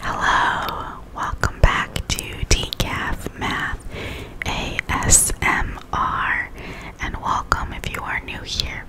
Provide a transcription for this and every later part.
Hello, welcome back to Decaf Math ASMR, and welcome if you are new here.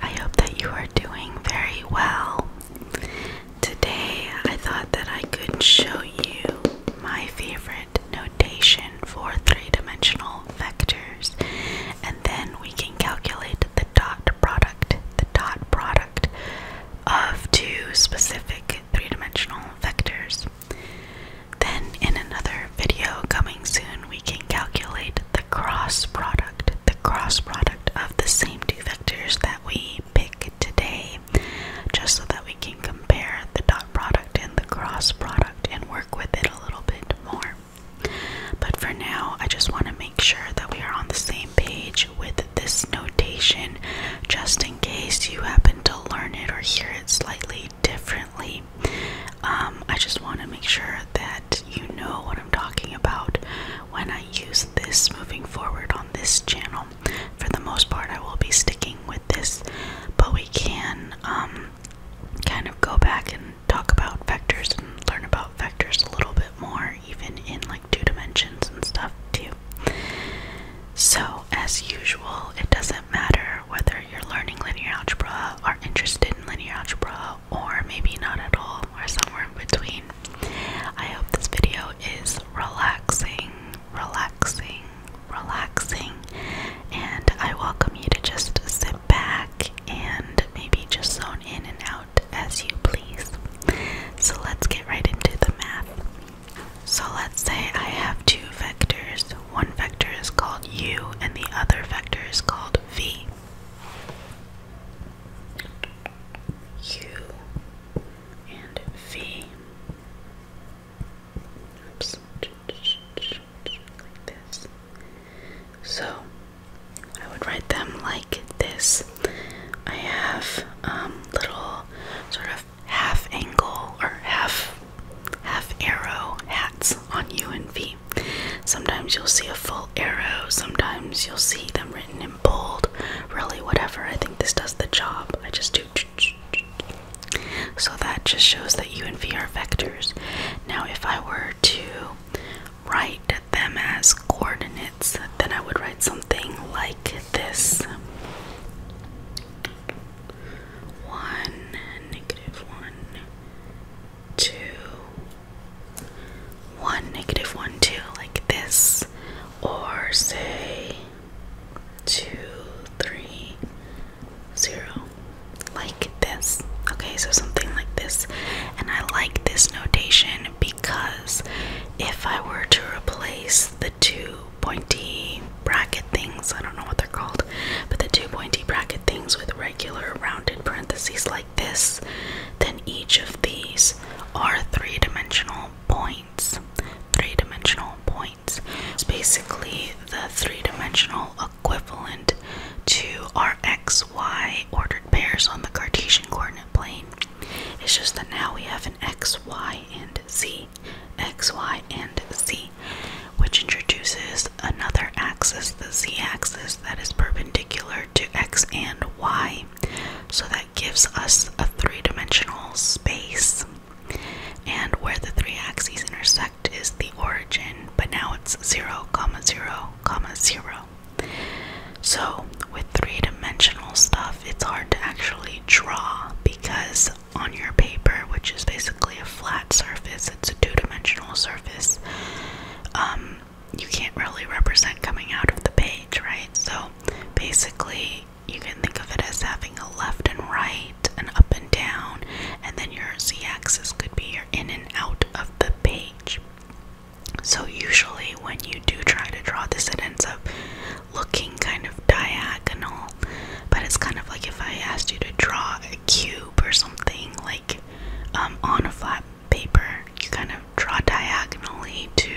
I hope that you are doing very well. Today, I thought that I could show you my favorite notation for three dimensional vectors, and then we can calculate the dot product. The dot product of two specific three-dimensional vectors. Then in another video coming soon, we can calculate the cross product, the cross product of the same two vectors that we pick today, just so that we can compare the dot product and the cross product and work with it a little bit more. But for now, I just want make sure that we are on the same page with this notation just in case you happen to learn it or hear it slightly differently. Um, I just want to make sure that you know what I'm talking about when I use this moving forward on this channel. For the most part, I will be sticking with this, but we can um, kind of go back and talk about vectors and learn about vectors a little bit more even in like two dimensions and stuff too. So, as usual, it doesn't matter whether you're learning linear algebra, are interested in linear algebra, or maybe not at all, or somewhere in between. I hope this video is relaxing, relaxing, relaxing, and I welcome you to just sit back and maybe just zone in and out as you please. So let's get right into the math. So let's say I have two vectors. One vector is called u and the other vector is called v. U and v. Like this. So I would write them like this. I have um, little sort of half angle or half half arrow hats on U and V. Sometimes you'll see a full arrow, sometimes you'll see them written in bold, really whatever. I think this does the job. I just do so that just shows that U and V are vectors. Now if I were to write them as coordinates, then I would write something like this. 1, negative 1, 1, 2, like this. Or say 2, like this. Okay, so something like this. And I like this notation because if I were to replace the two pointy bracket things, I don't know what they're called, but the two pointy bracket things with regular rounded parentheses like this, then each of these are three dimensional points. Three dimensional points. It's basically the three dimensional equivalent to our xy ordered pairs on the Cartesian coordinate plane. It's just that now we have an x, y, and z, x, y, and z, which introduces another axis, the z axis, that is perpendicular to x and y. So that gives us a three dimensional space. And where the three axes intersect is the origin, but now it's 0, comma 0, comma 0. So, with three dimensional stuff, it's hard to actually draw because on your paper, which is basically a flat surface, it's a two dimensional surface, um, you can't really represent coming out of the page, right? So, basically, you can think of it as having a left and right, and up and down, and then your z axis could be your in and out of the page. So, usually, when you do try to draw this, it ends up looking kind of diagonal. But it's kind of like if I asked you to draw a cube or something, like um, on a flat paper, you kind of draw diagonally to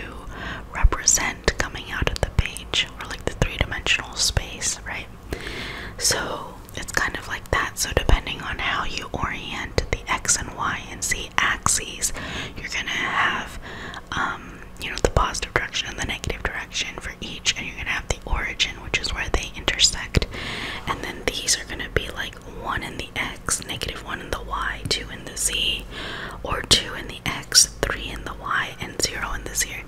represent coming out of the page or like the three dimensional space, right? So, it's kind of like that. So, depending on how you orient the X and Y and Z axes, you're gonna have, um, you know, the positive direction and the negative direction for each, and you're gonna have the origin, which is where they intersect. And then these are gonna be like one in the X, negative one in the Y, two in the Z, or two in the X, three in the Y, and zero in the Z.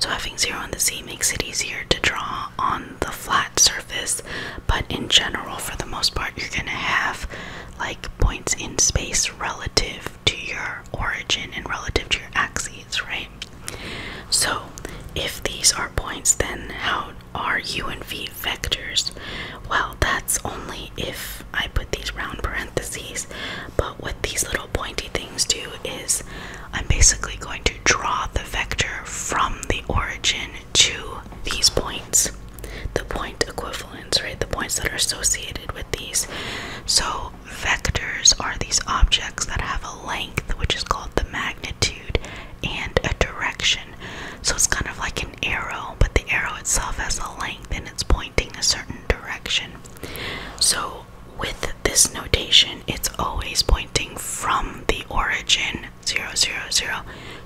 So having zero in the Z makes it easier to draw on the flat surface surface, but in general, for the most part, you're gonna have like points in space relative to your origin and relative to your axes, right? So, if these are points, then how are u and v vectors? Well, that's only if I put these round parentheses, but what these little pointy things do is I'm basically going to draw the vector from the origin to these points, the point equivalents, right? The points that are associated with these. So, vectors are these objects that have a length, which is called the magnitude, and a direction. So, it's kind of like an arrow, but the arrow itself has a length and it's pointing a certain direction. So, with this notation, it's always pointing from the origin 0, 0, 0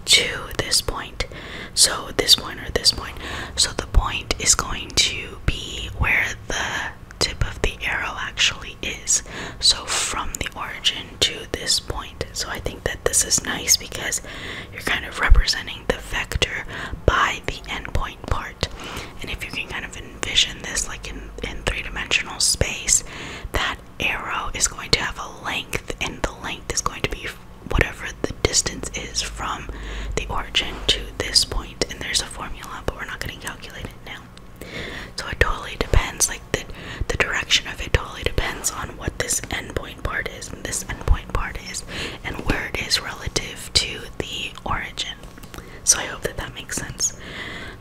to this point. So this point or this point. So the point is going to be where the tip of the arrow actually is. So from the origin to this point. So I think that this is nice because you're kind of representing the vector by the endpoint part. And if you can kind of envision this like in, in three dimensional space, that arrow is going to have a length, and the length is going to be whatever the distance is from the origin to this point. And there's a formula, but we're not going to calculate it now. So it totally depends, like the the direction of it totally depends on what this endpoint part is, and this endpoint part is, and where it is relative to the origin. So I hope that that makes sense.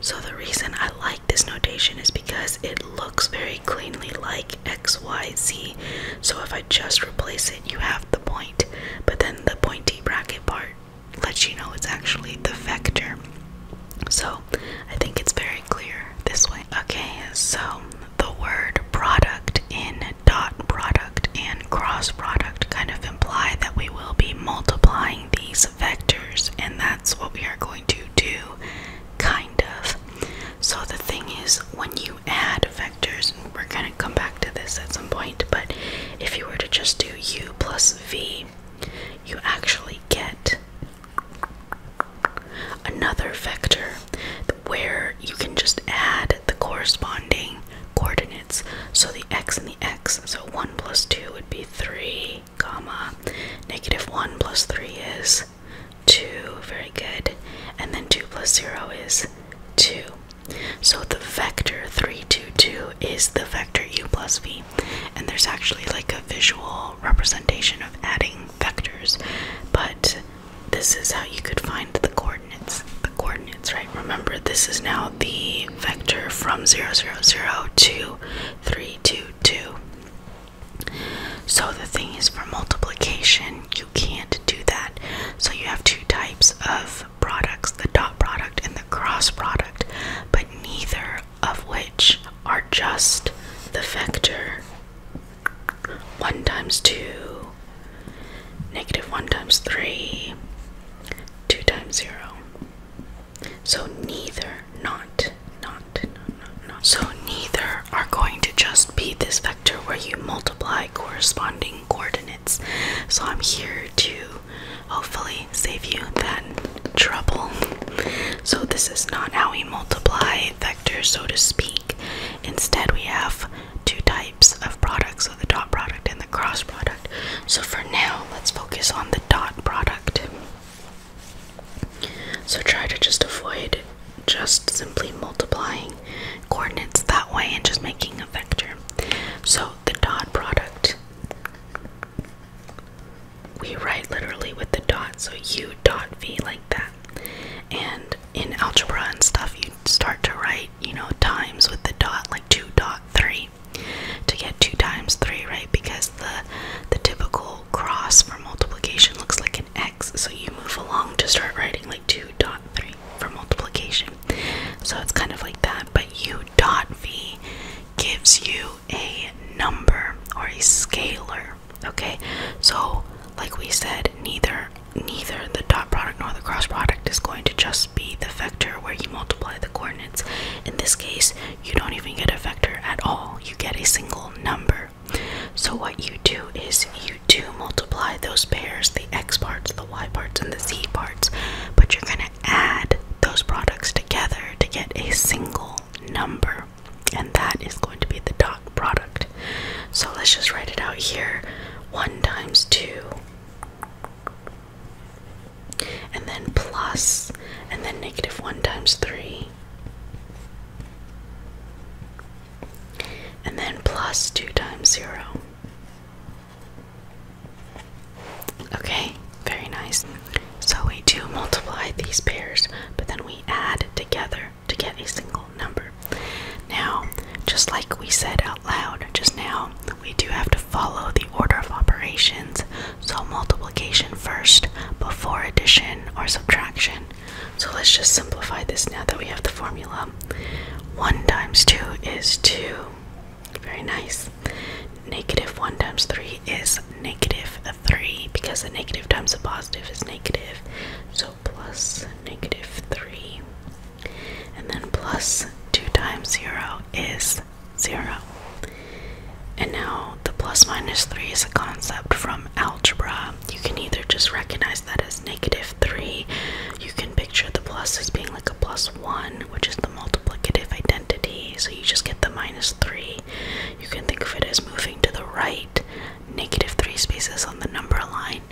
So the reason I like this notation is because it looks very cleanly like XYZ. So if I just replace it, you have the point. But then the pointy bracket part lets you know it's actually the vector. So I think it's very clear this way. Okay, so the word product in dot product and cross product kind of imply that we will be multiplying these vectors, and that's what we are going to do, kind of. So, the thing is, when you add vectors, and we're going to come back to this at some point, but if you were to just do u plus v, you actually get another vector where you can just add the corresponding coordinates. So the x and the x, so 1 plus 2 would be 3, comma, negative 1 plus 3 is 2, very good, and then 2 plus 0 is 2. So the vector 3, 2, 2 is the vector u plus v, and there's actually like a visual representation of adding vectors, but this is how you could find the coordinates. The coordinates, right? Remember, this is now the vector from 0, 0, 0 to 3, 2, 2. So the thing is, for multiplication, you can't do that. So you have two types of products the dot product and the cross product, but neither of which are just the vector 1 times 2, negative 1 times 3, 2 times 0. So neither, not, not, not, not, So neither are going to just be this vector where you multiply corresponding coordinates. So I'm here to hopefully save you that trouble. So this is not how we multiply vectors, so to speak. Instead, we have two types of products, so the dot product and the cross product. So for now, let's focus on the dot product. So try to just avoid just simply multiplying coordinates that way and just making a vector. So the dot product, we write literally with the dot, so u dot v like that. And in algebra and stuff, you start to write, you know, times with the dot, like 2 dot 3 to get two times three, right? Because the the typical cross for multiplication looks like an x, so you move along to start writing like two dot three for multiplication. So it's kind of like that, but u dot v gives you a number or a scalar. Okay, so like we said, neither neither the dot product nor the cross product is going to just be the vector where you multiply the coordinates in this case, you don't even get a vector at all, you get a single number. So, what you do is you do multiply those pairs the x parts, the y parts, and the z parts, but you're going to add those products together to get a single number, and that is going to be the dot product. So, let's just write it out here 1 times 2 and then plus, and then negative 1 times 3, and then plus 2 times 0. Okay, very nice. So we do multiply these pairs, but then we add together to get a single number. Now, just like we said just now, we do have to follow the order of operations. So multiplication first before addition or subtraction. So let's just simplify this now that we have the formula. 1 times 2 is 2. Very nice. Negative 1 times 3 is negative 3 because a negative times a positive is negative. So plus negative 3 and then plus 2 times 0 is 0. And now the plus minus 3 is a concept from algebra. You can either just recognize that as negative 3, you can picture the plus as being like a plus 1, which is the multiplicative identity, so you just get the minus 3. You can think of it as moving to the right, negative 3 spaces on the number line,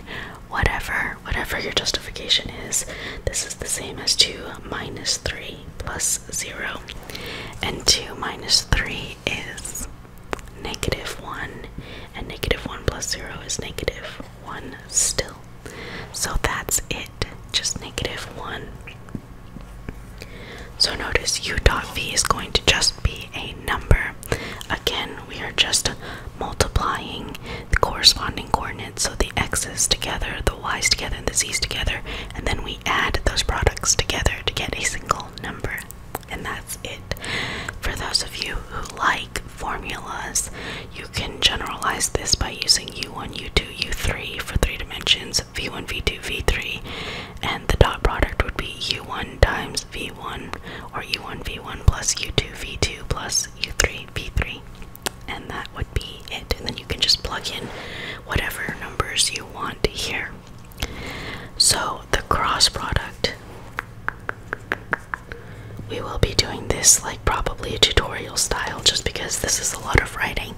whatever, whatever your justification is, this is the same as 2 minus 3 plus 0. And 2 minus 3 is negative 1, and negative 1 plus 0 is negative 1 still. So that's it, just negative 1. So notice u dot v is going to just be a number. Again, we are just multiplying the corresponding coordinates, so the x's together, the y's together, and the z's together, and then we add those products together to get a single number. And that's it. For those of you who like formulas, you can generalize this by using u1, u2, u3 for three dimensions, v1, v2, v3, and the dot product would be u1 times v1, or u1, v1 plus u2, v2 plus u3, v3 and that would be it. And then you can just plug in whatever numbers you want here. So the cross product, we will be doing this like probably a tutorial style just because this is a lot of writing.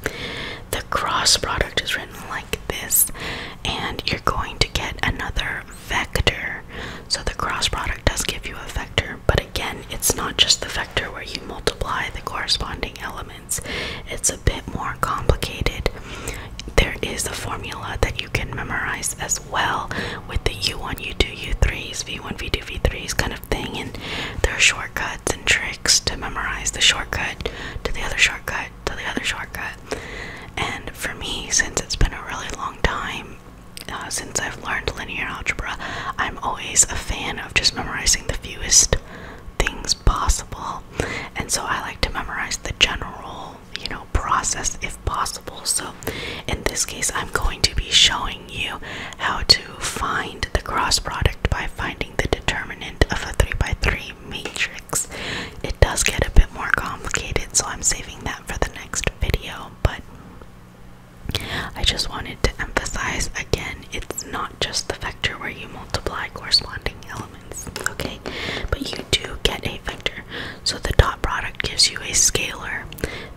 The cross product is written like this, and you're going to get another vector so the cross product does give you a vector, but again, it's not just the vector where you multiply the corresponding elements. It's a bit more complicated. There is a formula that you can memorize as well with the u1, u2, u3s, v1, v2, v3s kind of thing, and there are shortcuts and tricks to memorize the shortcut to the other shortcut to the other shortcut. And for me, since it's been a really long time, uh, since I've learned linear algebra, I'm always a fan of just memorizing the fewest things possible. And so I like to memorize the general, you know, process if possible. So in this case, I'm going to be showing you how to find the cross product by finding the determinant of a 3 by 3 matrix. It does get a bit more complicated, so I'm saving that for the next video, but I just wanted to emphasize again it's not just the vector where you multiply corresponding elements, okay? But you do get a vector. So the dot product gives you a scalar,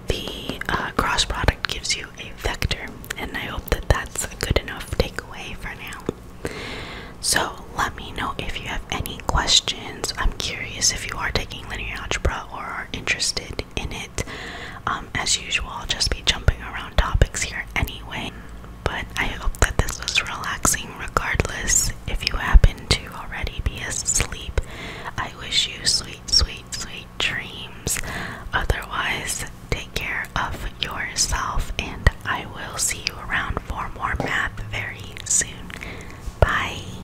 the uh, cross product gives you a vector, and I hope that that's a good enough takeaway for now. So let me know if you have any questions. I'm curious if you are taking linear algebra or are interested in it. Um, as usual, I'll just be jumping around topics here anyway. But I hope that this was relaxing regardless. If you happen to already be asleep, I wish you sweet, sweet, sweet dreams. Otherwise, take care of yourself, and I will see you around for more math very soon. Bye.